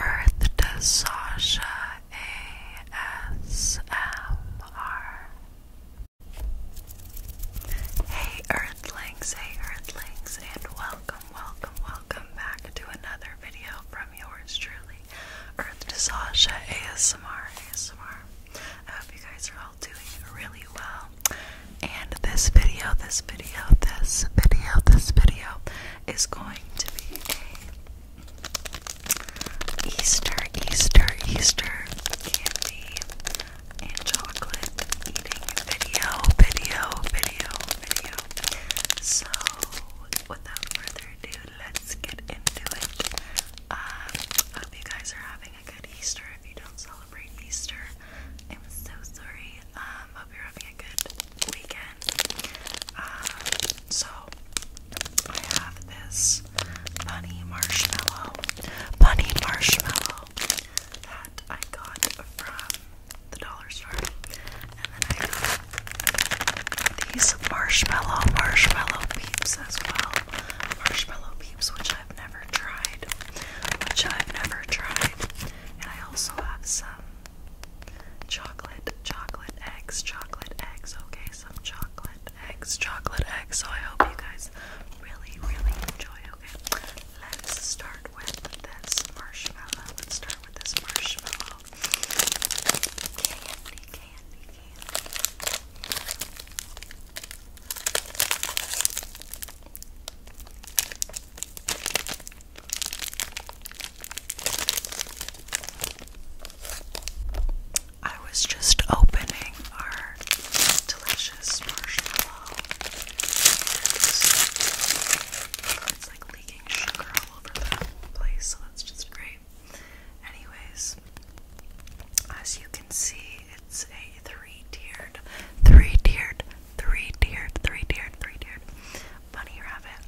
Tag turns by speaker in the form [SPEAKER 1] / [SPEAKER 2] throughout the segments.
[SPEAKER 1] Earth to Sasha ASMR. Hey Earthlings, hey Earthlings, and welcome, welcome, welcome back to another video from yours truly, Earth to Sasha ASMR ASMR. I hope you guys are all doing really well. And this video, this video, this video, this video is going to be a Easter, Easter, Easter candy and chocolate eating video, video, video, video. So, without further ado, let's get into it. I um, hope you guys are having a good Easter. If you don't celebrate Easter, I'm so sorry. Um, hope you're having a good weekend. Um, so I have this bunny marshmallow, bunny marshmallow that I got from the dollar store, and then I got these marshmallow marshmallow peeps as well, marshmallow peeps which I've never tried, which I've never tried, and I also have some Chocolate, chocolate eggs, chocolate eggs. Okay, some chocolate eggs, chocolate eggs. So I hope you guys really, really enjoy. Okay, let's start with this marshmallow. Let's start with this marshmallow. I was just opening our delicious marshmallow. and It's like leaking sugar all over the place, so that's just great. Anyways, as you can see, it's a three tiered, three tiered, three tiered, three tiered, three tiered bunny rabbit,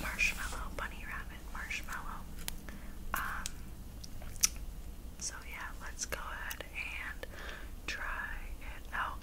[SPEAKER 1] marshmallow, bunny rabbit, marshmallow. Um, so yeah, let's go ahead and try it out.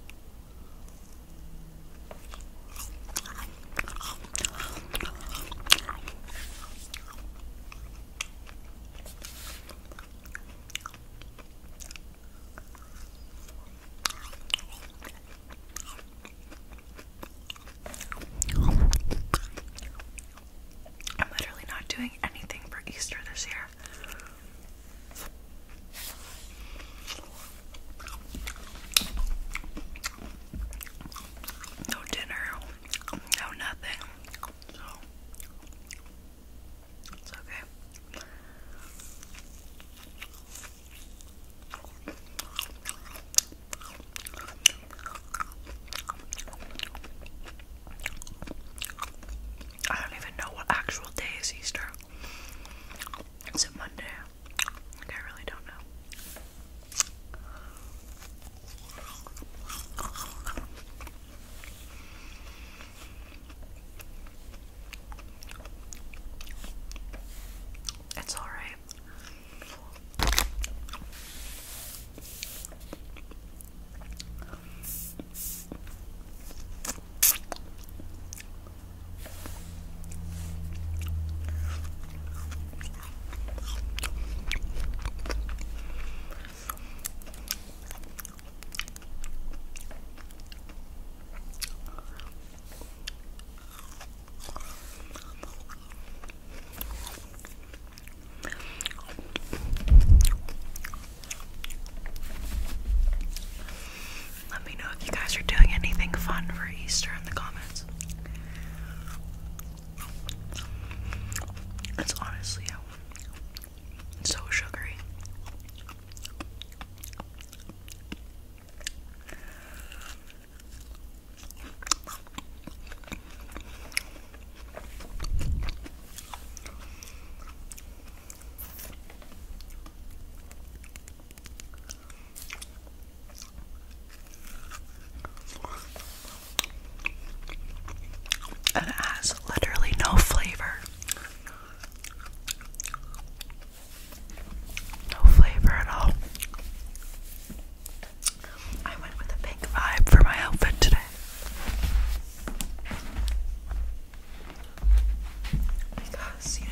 [SPEAKER 1] I'm literally not doing anything for Easter this year. No dinner, no nothing. So it's okay. I don't even know what actual day is Easter. Is it Monday? Like, I really don't know. It's all right. Let me know if you guys are doing anything fun for Easter in the comments. It's honestly so sugary. And it has literally no flavor. No flavor at all. I went with a pink vibe for my outfit today. Because, you know,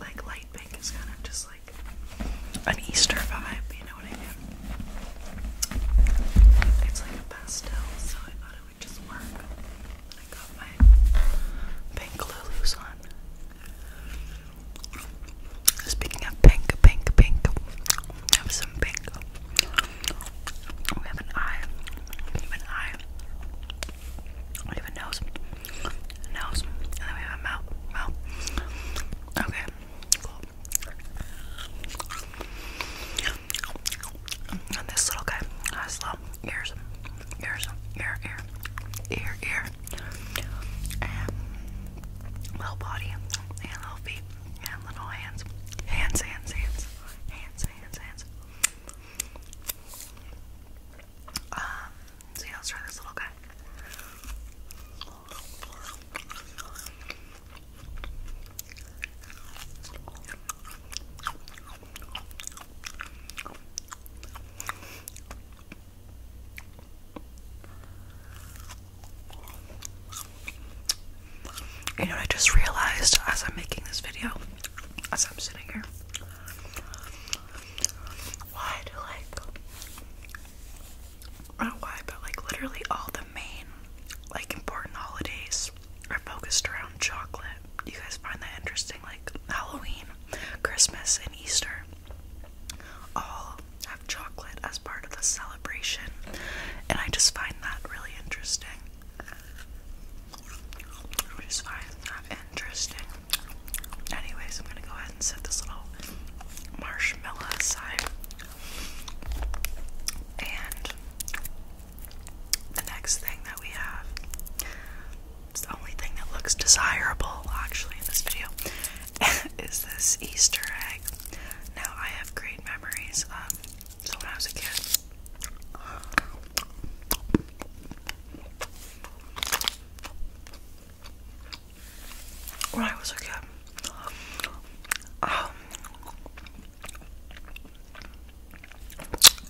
[SPEAKER 1] like light pink is kind of just like an Easter vibe, you know what I mean? It's like a pastel, so I it would just work. I got my pink Lulu's on. Speaking of pink, pink, pink, we have some pink. We have an eye. We have an eye. We have a nose. nose. And then we have a mouth. Mouth. Okay. Cool. And this little guy has little ears, ears, ear, ear, ear, ear, little body, and little feet, and little hands, hands, hands, hands, hands, hands, hands. Um, so yeah, let try this little guy. You know what I just realized as I'm making this video, as I'm sitting here? Why do like not why, but like literally all the main like important holidays are focused around chocolate. Do you guys find that interesting? Like Halloween, Christmas, and Easter all have chocolate as part of the celebration, and I just find that really interesting. I just find that interesting. Anyways, I'm gonna go ahead and set this little marshmallow aside. And the next thing that we have, it's the only thing that looks desirable actually in this video, is this Easter egg. Now, I have great memories of, when I was a kid, when I was a kid, um,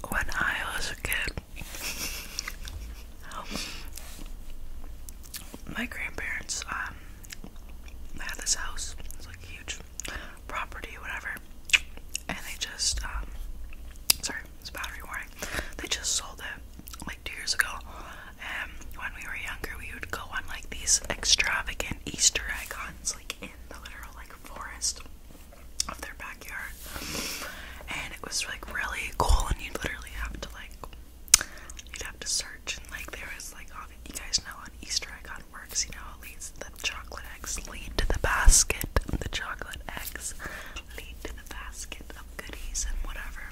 [SPEAKER 1] when I was a kid, my grandparents um, had this house. It's like huge property, whatever. And they just um, sorry, it's battery warning. They just sold it like two years ago. And when we were younger, we would go on like these extravagant Easter egg hunts, like in the literal like forest of their backyard. And it was like really cool and you'd literally have to like you'd have to search and like there was like you guys know on Easter egg on works, you know, it leads the chocolate eggs lead to the basket. The chocolate eggs lead to the basket of goodies and whatever.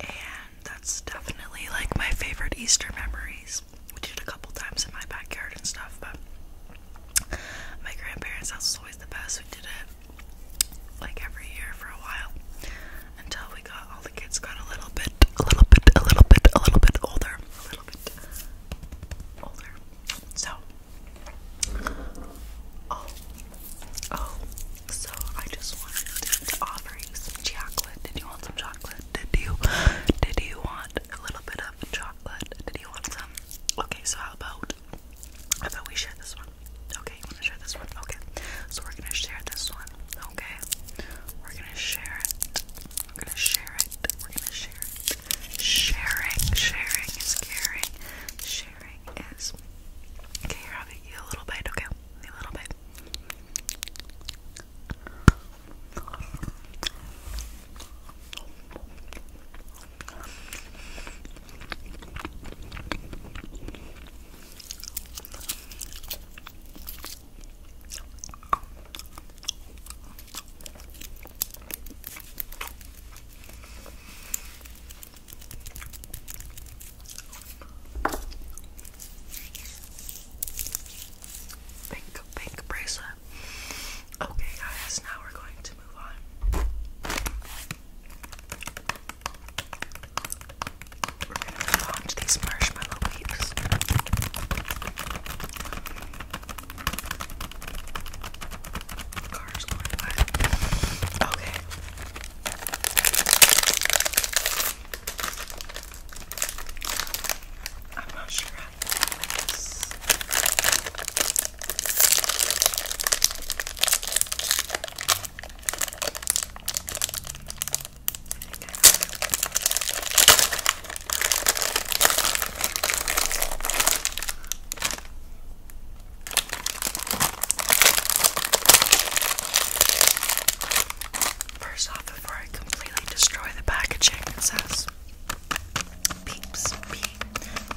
[SPEAKER 1] And that's definitely like my favorite Easter memories we did it a couple times in my backyard and stuff, but my grandparents' house was always the best. We did it like every year for a while until we got all the kids got a little bit, a little bit, a little bit, a little bit older, a little bit older. So, oh, oh, so I just wanted to offer you some chocolate. Did you want some chocolate? Did you, did you want a little bit of chocolate? chocolate. Did you want some? Okay, so how about I thought we share this one. Okay, you wanna share this one? Okay. So we're gonna share this one. Okay. We're gonna share it. We're gonna share it. We're gonna share it. Sharing, sharing is caring. Sharing is Okay, here I'll get you a little bit, okay? A little bit. Pink, pink bracelet. Okay, guys, now we're going to move on. We're gonna move on to these marshmallow leaves. Cars going by. Okay practice. First off, before I completely destroy the packaging, it says Peeps, P E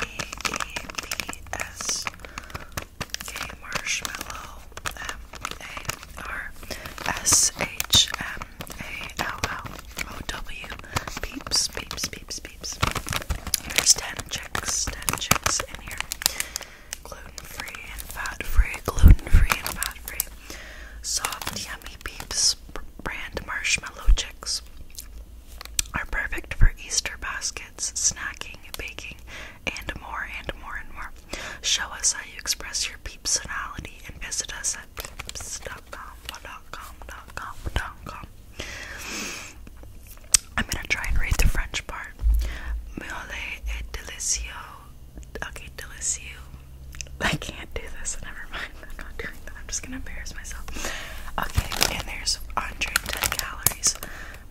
[SPEAKER 1] E P S K Marshmallow M A R S H M A L L O W Peeps, Peeps, Peeps, Peeps. Here's 10 chicks, 10 chicks in here. Gluten free and fat free, gluten free and fat free. Soft Yummy Peeps brand marshmallow chicks are perfect for Easter baskets, snacking, baking, and more and more and more. Show us how you express your personality and visit us at peeps.com.com.com.com. I'm gonna try and read the French part. Mule et delicio. Okay, delicio. I can't do this. Never mind. I'm not doing that. I'm just gonna embarrass myself. Okay, and there's 110 calories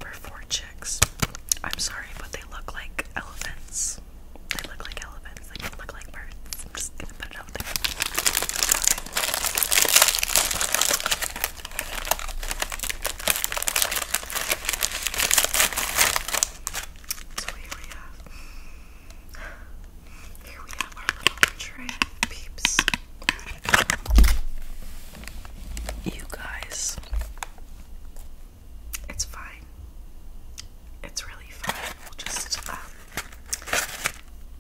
[SPEAKER 1] per four chicks. I'm sorry, but they look like elephants. They look like elephants. They look like birds. I'm just gonna put it out there. So here we have here we have our little tray, peeps. You guys, it's fine. It's really fine. We'll just, um,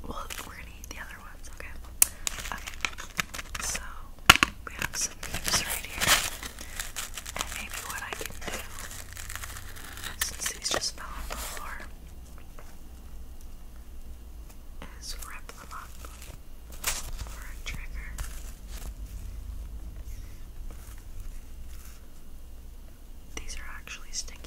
[SPEAKER 1] well, we're gonna eat the other ones, okay? Okay, so we have some peeps right here. And maybe what I can do since these just fell on the floor, is wrap them up for a trigger. These are actually sticky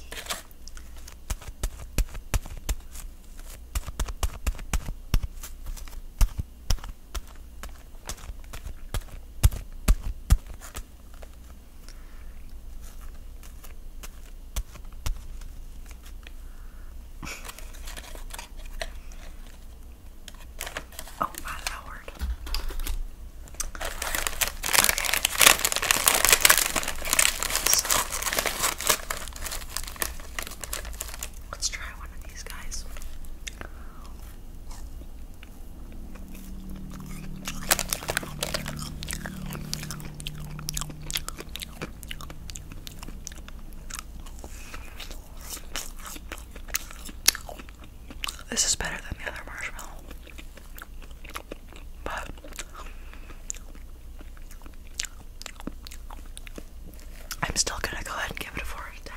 [SPEAKER 1] oh my lord. Okay. let's try one of these guys. This is better than the other marshmallow. But I'm still gonna go ahead and give it a 4 out of 10.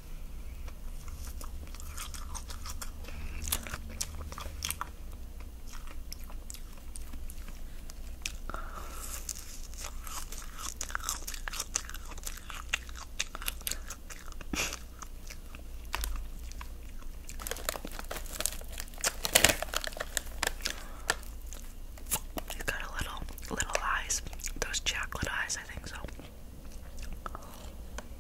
[SPEAKER 1] You've got a little little eyes. Those chocolate eyes, I think so.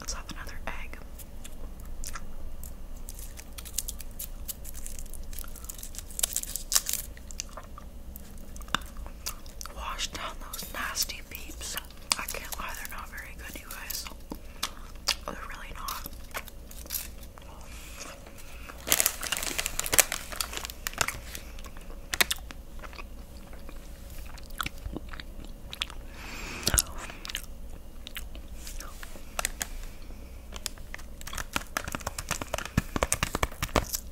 [SPEAKER 1] Let's have another egg. Wash down those nasty beeps. I can't lie, they're not very good, you guys. Oh, they're really not.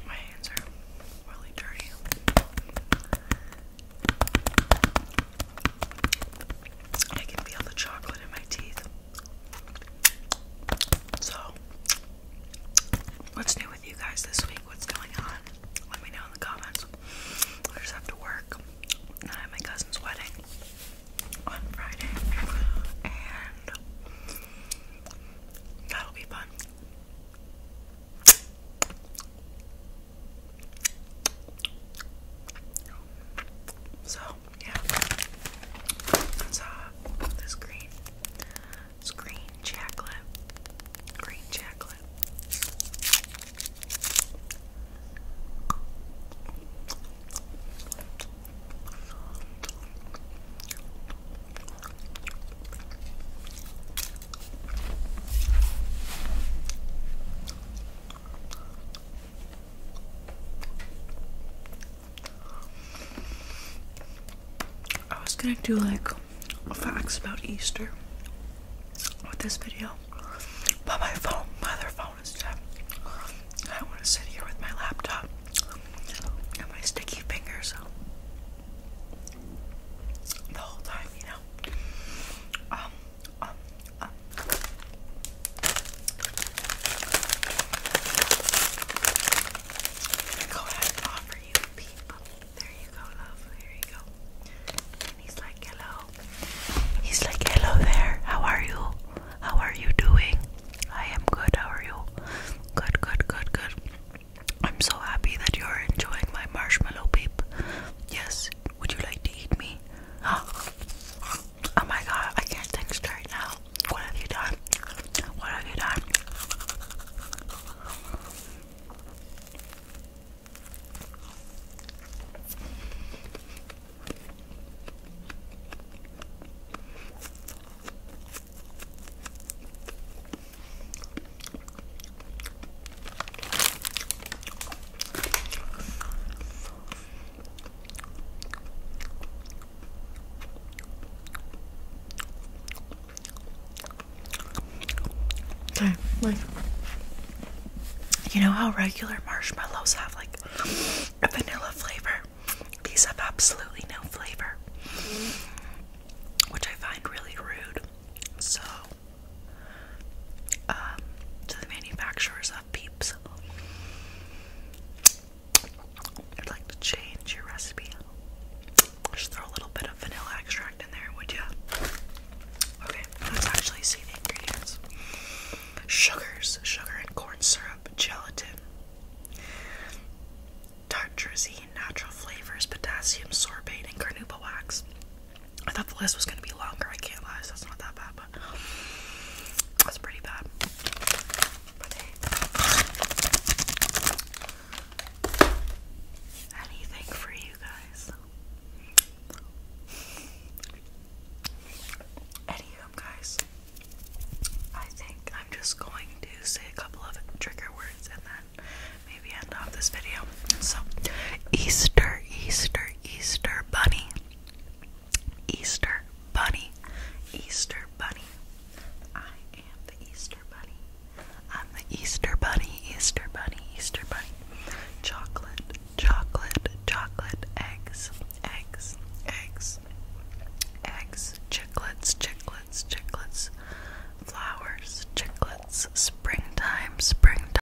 [SPEAKER 1] My hands are really dirty. I can feel the chocolate in my teeth. So, what's new with you guys this week? What's going on? Let me know in the comments. I just have to work. I have my cousin's wedding on Friday. And that'll be fun. So, yeah. That's uh, this green. It's green chocolate. Green chocolate. I was gonna do like facts about Easter with this video, but my phone, my other phone is dead. I want to sit here with my laptop and my sticky fingers the whole time, you know. Um, um, um. Go ahead and offer you a peep. There you go, love. There you go. And he's like, hello. He's like, hello there. How are you? How are you doing? I am good. How are you? Good, good, good, good. I'm so happy that you're enjoying my marshmallow peep. Yes. Would you like to eat me? Oh my god, I can't think straight now. What have you done? What have you done? Okay, like you know how regular marshmallows have like a vanilla flavor? These have absolutely no flavor, which I find really rude. So um, to the manufacturers of peeps. I'd like to change your recipe. Just throw a little bit of vanilla extract in there, would ya? Okay, let's actually see the ingredients. Sugars, sugar and corn syrup, gelatin, tartrazine, natural flavors, potassium sorbate, and carnauba wax. I thought the list was gonna be longer. I can't lie, that's not that bad, but that's pretty bad. anything for you guys. Anywho, guys, I think I'm just going to say a couple of trigger words and then maybe end off this video. So, Easter, Easter, Easter Bunny. Easter Bunny. Easter Bunny. I am the Easter Bunny. I'm the Easter Bunny, Easter Bunny, Easter Bunny. Chocolate, chocolate, chocolate, eggs, eggs, eggs, eggs, chicklets, chicklets, chicklets, flowers, chicklets, springtime, springtime.